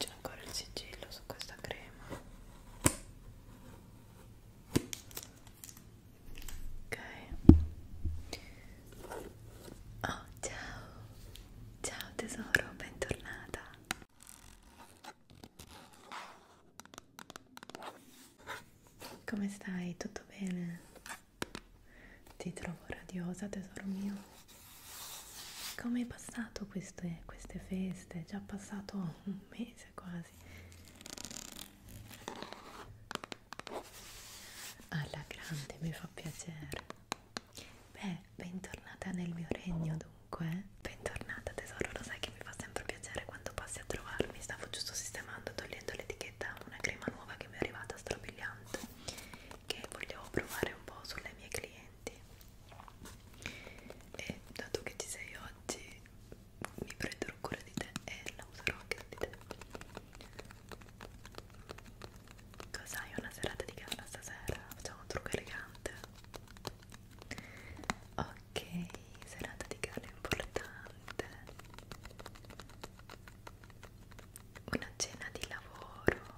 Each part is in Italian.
C'è ancora il sigillo su questa crema ok oh ciao ciao tesoro bentornata come stai tutto bene ti trovo radiosa tesoro mio come è passato queste, queste feste? È già passato un mese quasi alla grande mi fa piacere beh bentornata nel mio regno dunque eh. bentornata tesoro lo sai che mi fa sempre piacere quando passi a trovarmi stavo giusto sistemando togliendo l'etichetta una crema nuova che mi è arrivata strabiliante che volevo provare un po' sulle mie clienti e dato che ci sei oggi mi prenderò cura di te e la userò anche di te cosa hai una serata di gala stasera? facciamo un trucco elegante ok serata di gala importante una cena di lavoro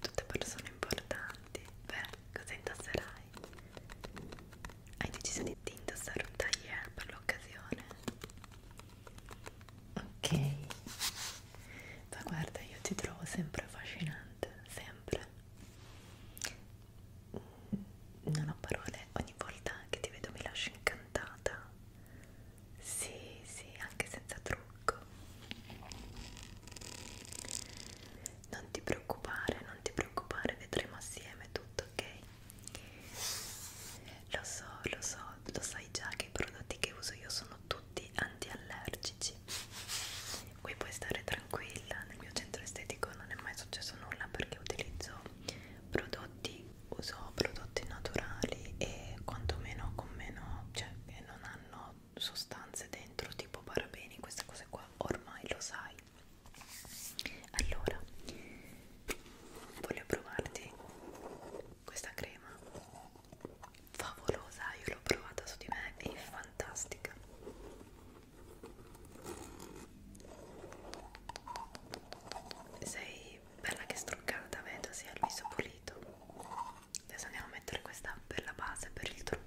tutte persone importanti beh cosa intasserai? Hai deciso di indossare un taglier per l'occasione? Ok, ma guarda, io ti trovo sempre affascinante, sempre. Mm, non ho parole, ogni volta che ti vedo mi lascio incantata. Sì, sì, anche senza trucco. Non ti preoccupare, non ti preoccupare, vedremo assieme tutto, ok? Lo so, lo so, lo sai già che i prodotti che uso io sono tutti antiallergici. Qui puoi stare tranquilla, nel mio centro estetico non è mai successo nulla perché utilizzo prodotti, uso prodotti naturali e quantomeno con meno, cioè che non hanno sostanze dentro tipo parabeni, queste cose qua ormai lo sai allora voglio provarti questa crema favolosa io l'ho provata su di me è fantastica sei bella che struccata vedo sia il viso pulito adesso andiamo a mettere questa bella base per il trucco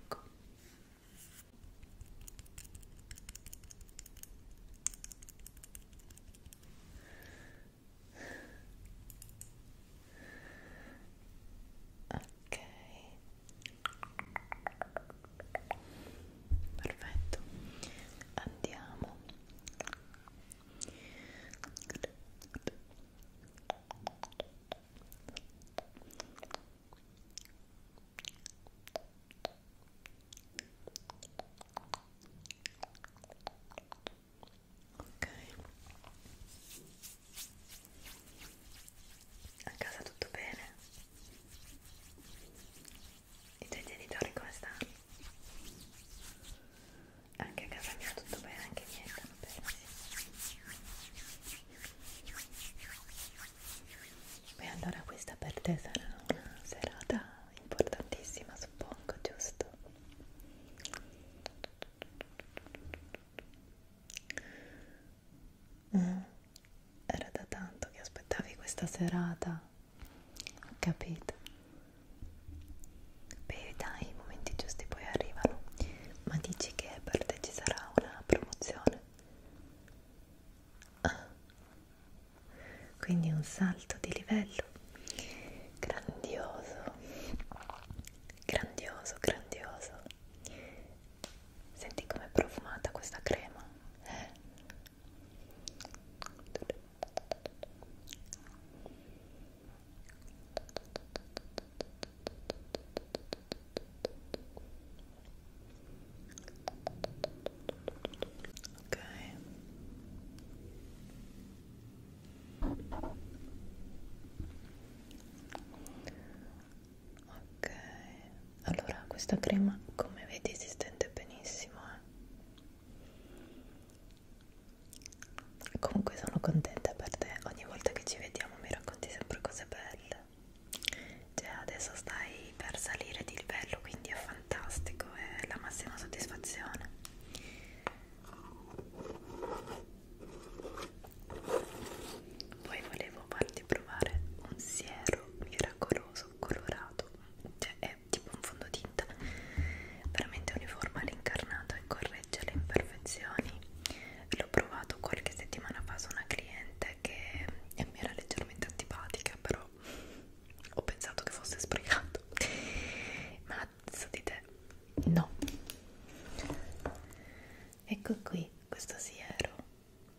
ok perfetto andiamo ok a casa tutto bene? i tuoi genitori come stanno? anche a casa mia tutto bene, anche i miei stanno bene sì. beh allora questa per te sarà una serata importantissima, suppongo, giusto? Mm. Era da tanto che aspettavi questa serata, ho capito. Beh dai, i momenti giusti poi arrivano, ma dici che per te ci sarà una promozione? Ah, quindi un salto di livello grandioso grandioso grandioso senti com'è profumata questa crema eh? ok ok allora questa crema come vedi si stende benissimo eh? comunque sono contenta per te ogni volta che ci vediamo mi racconti sempre cose belle cioè adesso stai poi per salire di livello quindi è fantastico è la massima soddisfazione poi volevo farti provare un siero miracoloso colorato cioè è tipo un fondotinta veramente uniforme all'incarnato e corregge le imperfezioni l'ho provato qualche settimana fa su una cliente che mi era leggermente antipatica però ho pensato che fosse sprecato ma so di te no ecco qui questo siero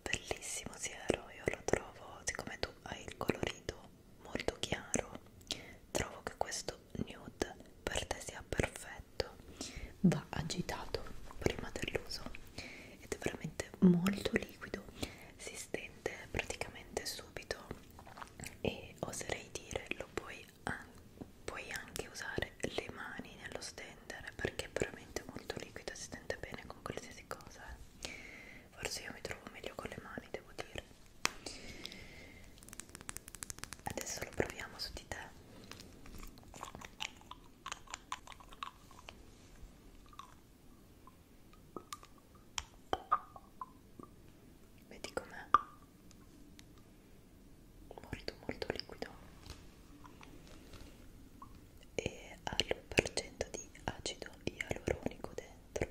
bellissimo siero io lo trovo siccome tu hai il colorito molto chiaro trovo che questo nude per te sia perfetto va agitato prima dell'uso ed è veramente molto liquido si resistente praticamente subito e oserei dire lo puoi, an puoi anche usare le mani nello stendere perché è veramente molto liquido e si stende bene con qualsiasi cosa eh. forse io mi trovo meglio con le mani devo dire adesso lo proviamo su di te Vedi com'è? Molto molto liquido e ha l'1% di acido ialuronico dentro.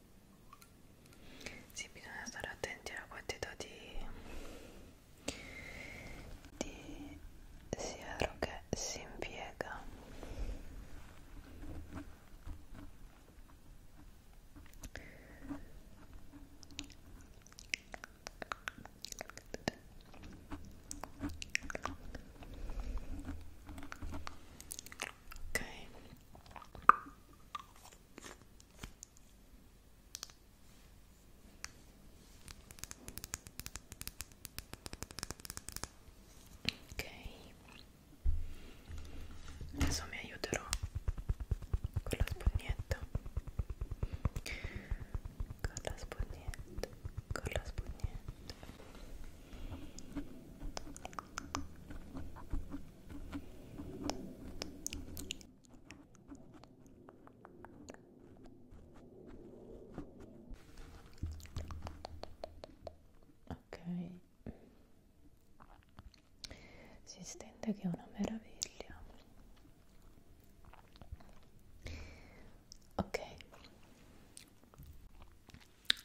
sì bisogna stare attenti alla quantità di, di siero che si impiega ok ok adesso mi aiuterò con la spugnetta con la spugnetta con la spugnetta Ok, si stende che è una meraviglia. Ok,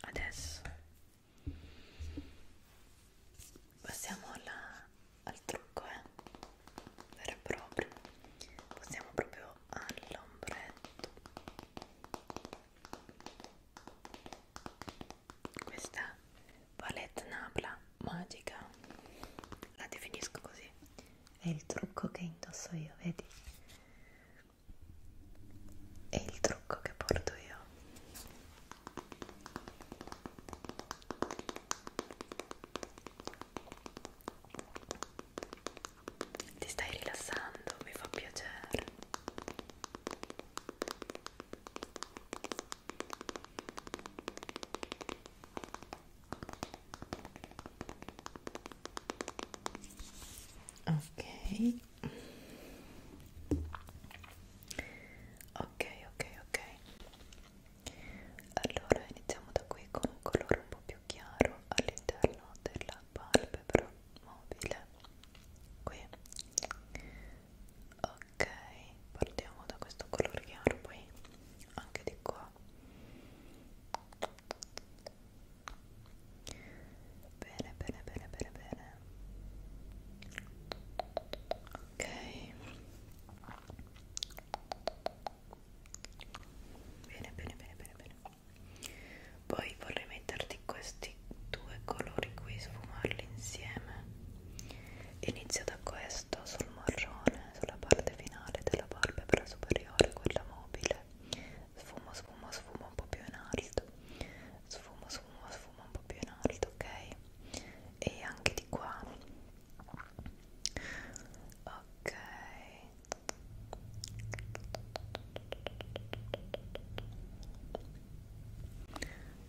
adesso Passiamo alla, al trucco, eh? vero e proprio. Passiamo proprio all'ombretto. Questa palette napla magica, la definisco così. È il trucco che indosso io, vedi? e il trucco che porto io ti stai rilassando mi fa piacere ok ok ok ok allora iniziamo da qui con un colore un po' più chiaro all'interno della palpebra mobile qui ok partiamo da questo colore chiaro poi anche di qua bene bene bene bene bene ok bene bene bene bene bene poi vorrei metterti questi due colori qui sfumarli insieme inizio da questo sul marrone sulla parte finale della palpebra superiore quella mobile sfumo sfumo sfumo un po' più in alto sfumo sfumo sfuma, sfuma un po' più in alto, ok? E anche di qua. Ok.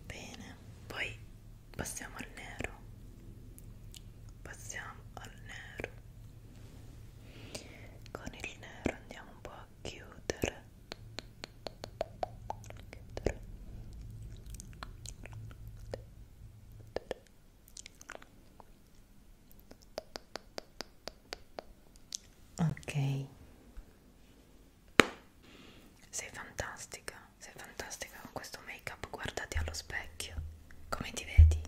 Bene, poi passiamo al nero. Passiamo al nero. Con il nero andiamo un po' a chiudere chiudere ok sei fantastica sei fantastica con questo make up guardati allo specchio come ti vedi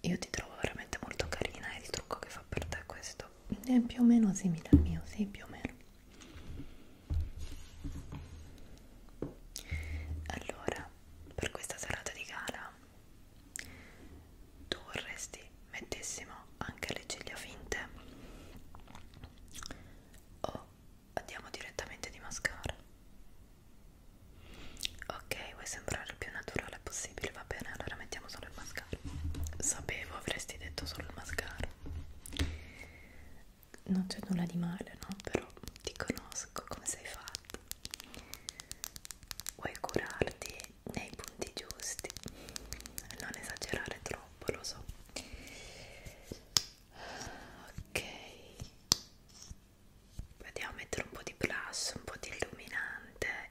io ti trovo veramente molto carina e il trucco che fa per te questo è più o meno simile al mio, sì, più o meno. Allora, per questa serata di gala, tu vorresti mettessimo anche le ciglia finte? O andiamo direttamente di mascara? Ok, vuoi sembrare il più naturale possibile, va bene, allora mettiamo solo il mascara mascara sapevo avresti detto solo il mascara non c'è nulla di male no però ti conosco come sei fatto vuoi curarti nei punti giusti non esagerare troppo lo so ok Vediamo a mettere un po' di blush, un po' di illuminante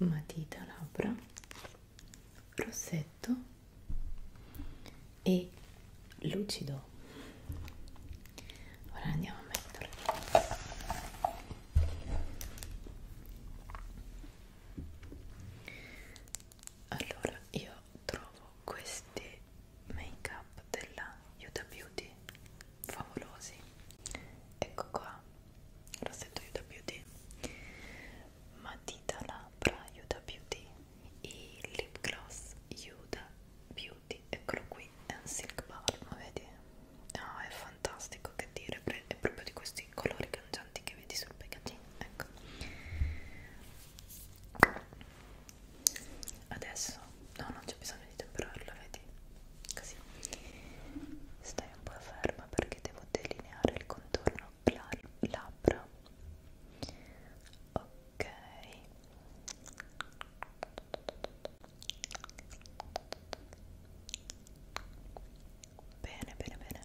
matita labbra rossetto e lucido ora andiamo a mettere allora io trovo questi make up della Yuda Beauty favolosi ecco qua rossetto Yuda Beauty matita labbra Yuda Beauty i lip gloss Yuda Beauty eccolo qui è un silk balm vedi? no oh, è fantastico che dire è proprio di questi questi colori cangianti che vedi sul packaging ecco adesso no non c'è bisogno di temperarla vedi così stai un po' ferma perché devo delineare il contorno labbra ok Bene, bene, bene.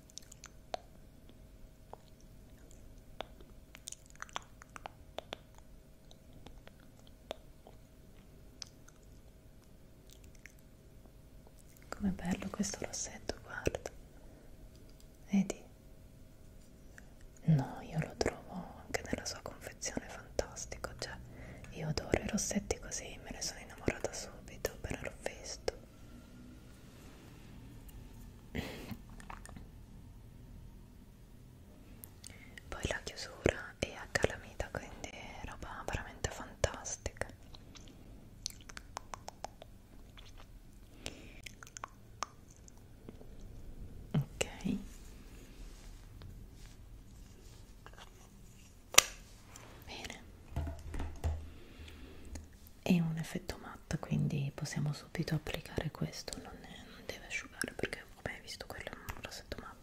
Com'è bello questo rossetto, guarda. Vedi? No, io lo trovo anche nella sua confezione fantastico, cioè io adoro i rossetti così, me ne sono innamorata subito, appena l'ho visto poi la chiusura è a calamita quindi è roba veramente fantastica ok Bene, è un effetto matte quindi possiamo subito applicare questo non, è, non deve asciugare perché vabbè visto quello è un rossetto matte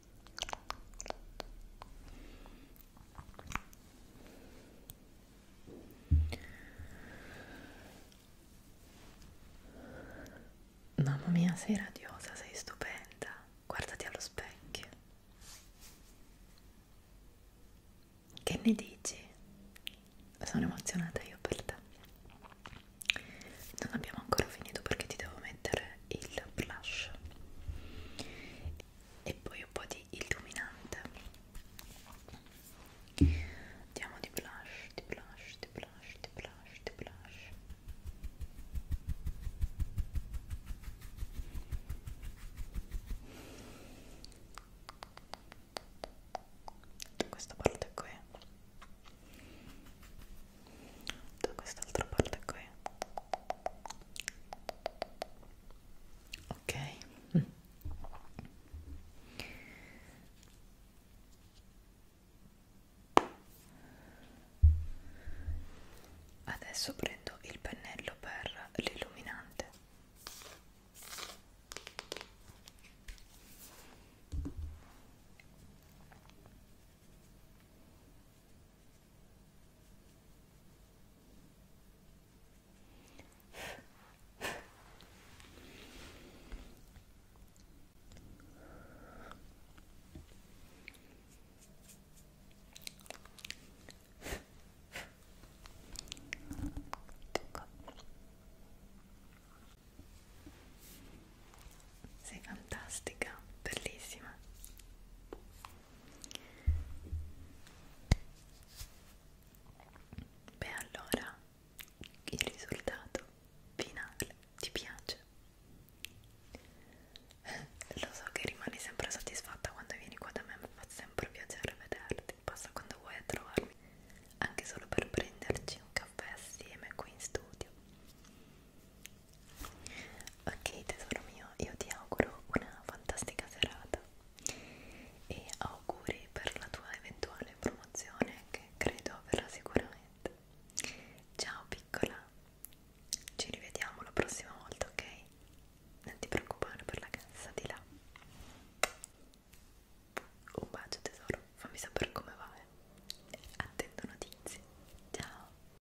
Mamma mia, sei radiosa, sei stupenda. Guardati allo specchio. Che ne dici? Sono emozionata io per te. Non abbiamo ancora finito perché ti devo mettere il blush e poi un po' di illuminante andiamo di blush di blush di blush di blush di blush da questa parte qui da quest'altra parte qui ok mm. adesso prendo il pennello per l'illuminante sei fantastica, bellissima. Beh, allora il risultato finale ti piace? Eh, lo so che rimani sempre soddisfatta quando vieni qua da me, mi fa sempre piacere vederti. Passa quando vuoi a trovarmi, anche solo per prenderci un caffè assieme qui in studio. Ok tesoro mio, io ti auguro una fantastica serata e auguri per la tua eventuale promozione che credo verrà sicuramente. Ciao piccola, ci rivediamo la prossima volta, ok? Non ti preoccupare per la cassa di là. Un bacio tesoro, fammi sapere come va. Eh. Attendo notizie. Ciao.